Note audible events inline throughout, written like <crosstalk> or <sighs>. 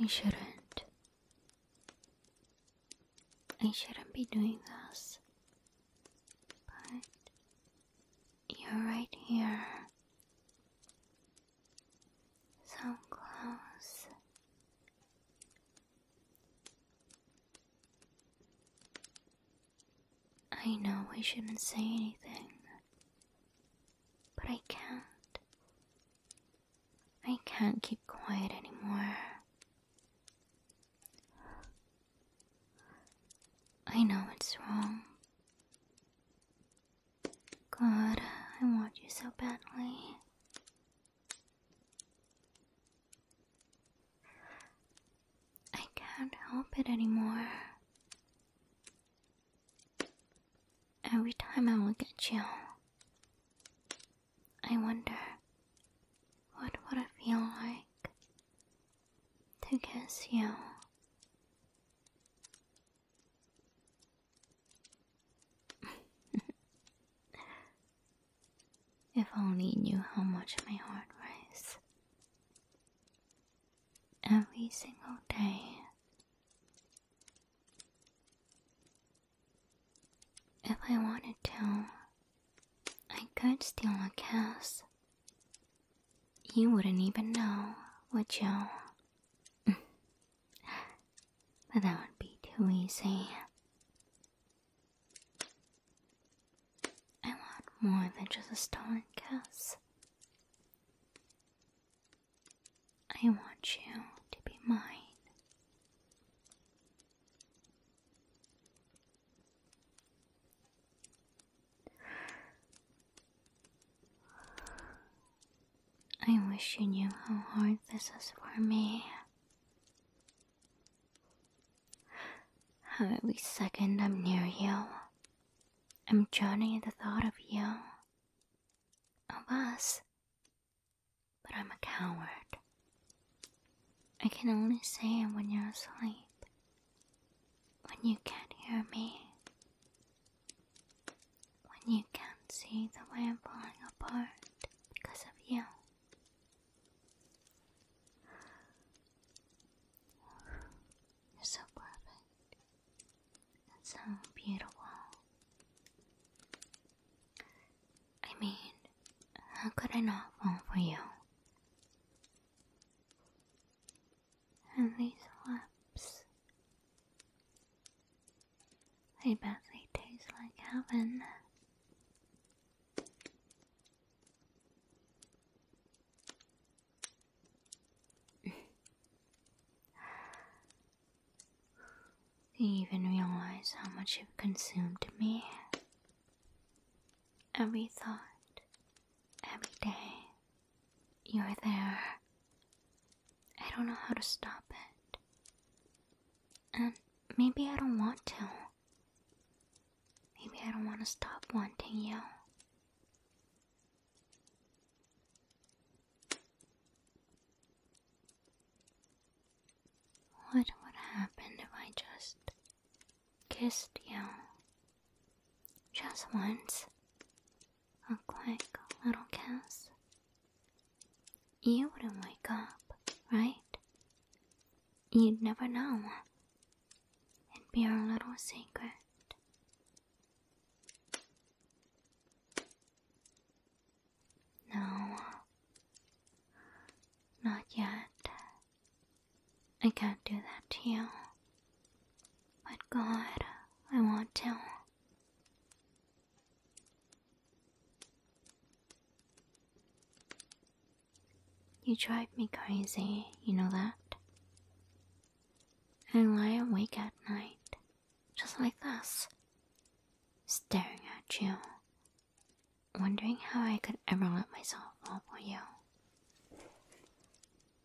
I shouldn't. I shouldn't be doing this. But you're right here. So close. I know I shouldn't say anything, but I can't. I can't keep quiet anymore. I know it's wrong. God, I want you so badly. I can't help it anymore. Every time I look at you, I wonder what would it feel like to kiss you. <laughs> If only knew how much my heart races. Every single day. If I wanted to, I could steal a kiss. You wouldn't even know, would you? but <laughs> that would be too easy. I want more than just a stolen kiss. I want you to be mine. I wish you knew how hard this is for me. Every second I'm near you, I'm drowning in the thought of you, of us. But I'm a coward. I can only say it when you're asleep, when you can't hear me, when you can't see the way I'm falling apart because of you. You're so perfect and so beautiful. I mean, how could I not fall for you? And these lips. I bet they taste like heaven. Do <sighs> you even realize how much you've consumed me? Every thought, every day, you're there. I don't know how to stop it. And um, maybe I don't want to. Maybe I don't want to stop wanting you. What would happen if I just kissed you? Just once look like little kids? You wouldn't wake up, right? You'd never know. It'd be our little secret. No, not yet. I can't do that to you. But God, I want to. You drive me crazy, you know that? I lie awake at night, just like this, staring at you, wondering how I could ever let myself fall for you.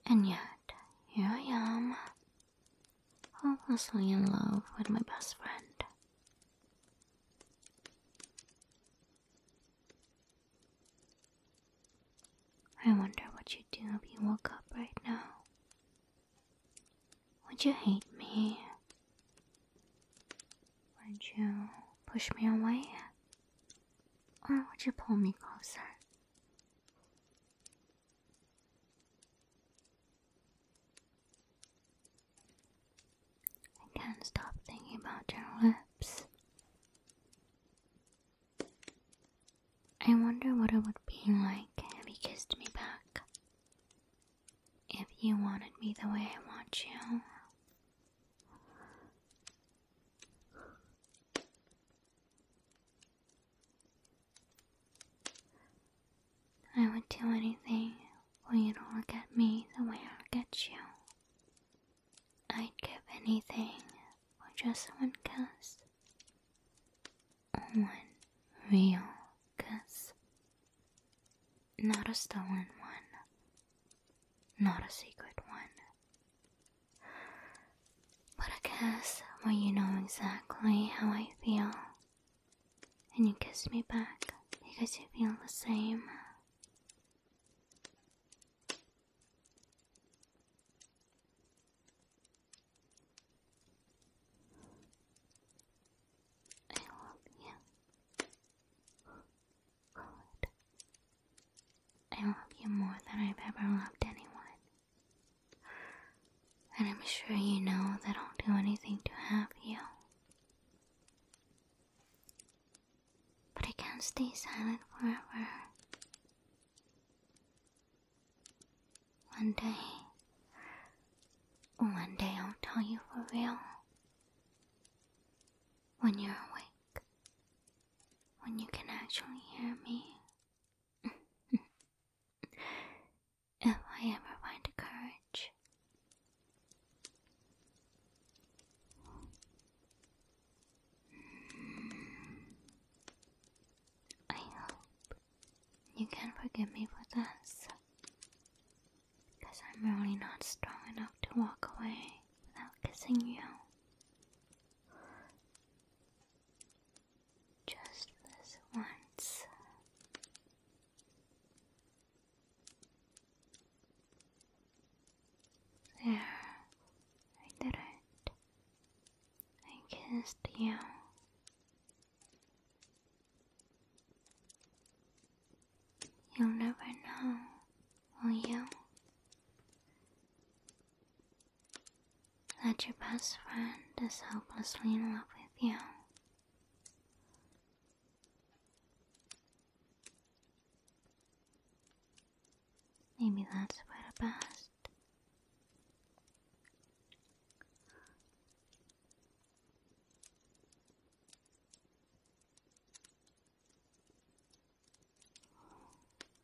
And yet, here I am, Hopelessly in love with my best friend. I wonder what you'd do if you woke up right now. Would you hate me? Would you push me away? Or would you pull me closer? I can't stop thinking about your lips. I wonder what it would be like if you kissed me back. If you wanted me the way I want you. I would do anything for you to look at me the way I look at you. I'd give anything for just one kiss. One real kiss. Not a stolen one. Not a secret one. But I guess, well, you know exactly how I feel. And you kiss me back because you feel the same. I love you. Good. I love you more than I've ever loved anyone. And I'm sure you know that I'll do anything to have you. But I can't stay silent forever. One day, one day I'll tell you for real. When you're awake, when you can actually hear me. <laughs> if I ever find the courage. I hope you can forgive me for this. Because I'm really not strong enough to walk away without kissing you. Just this once. There, I did it. I kissed you. You'll never know, will you? That your best friend is hopelessly in love with you. Maybe that's for the best.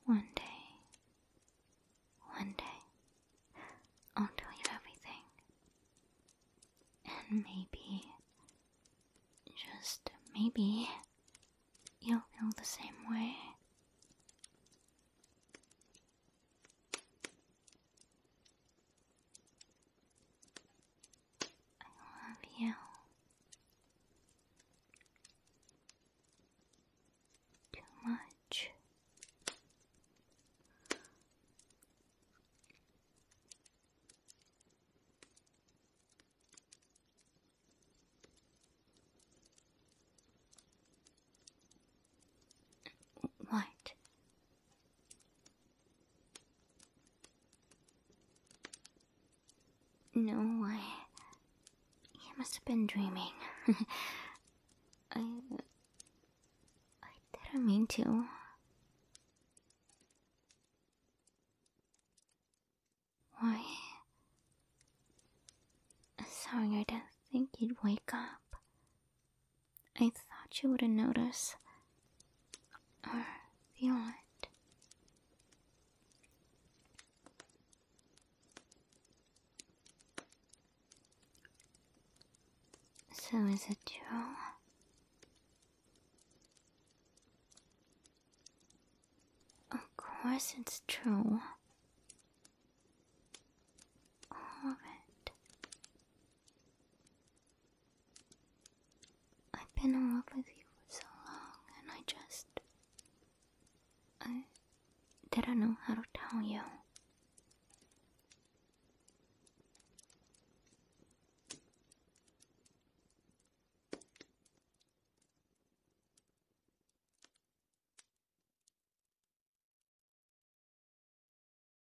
One day, one day, I'll tell you everything. And maybe, just maybe, you'll feel the same way. I love you. Too much. What? No, I. You must have been dreaming. <laughs> I. I didn't mean to. Why? Sorry, I didn't think you'd wake up. I thought you wouldn't notice or feel So is it true? Of course it's true. All of it. I've been in love with you for so long, and I just. I didn't know how to tell you.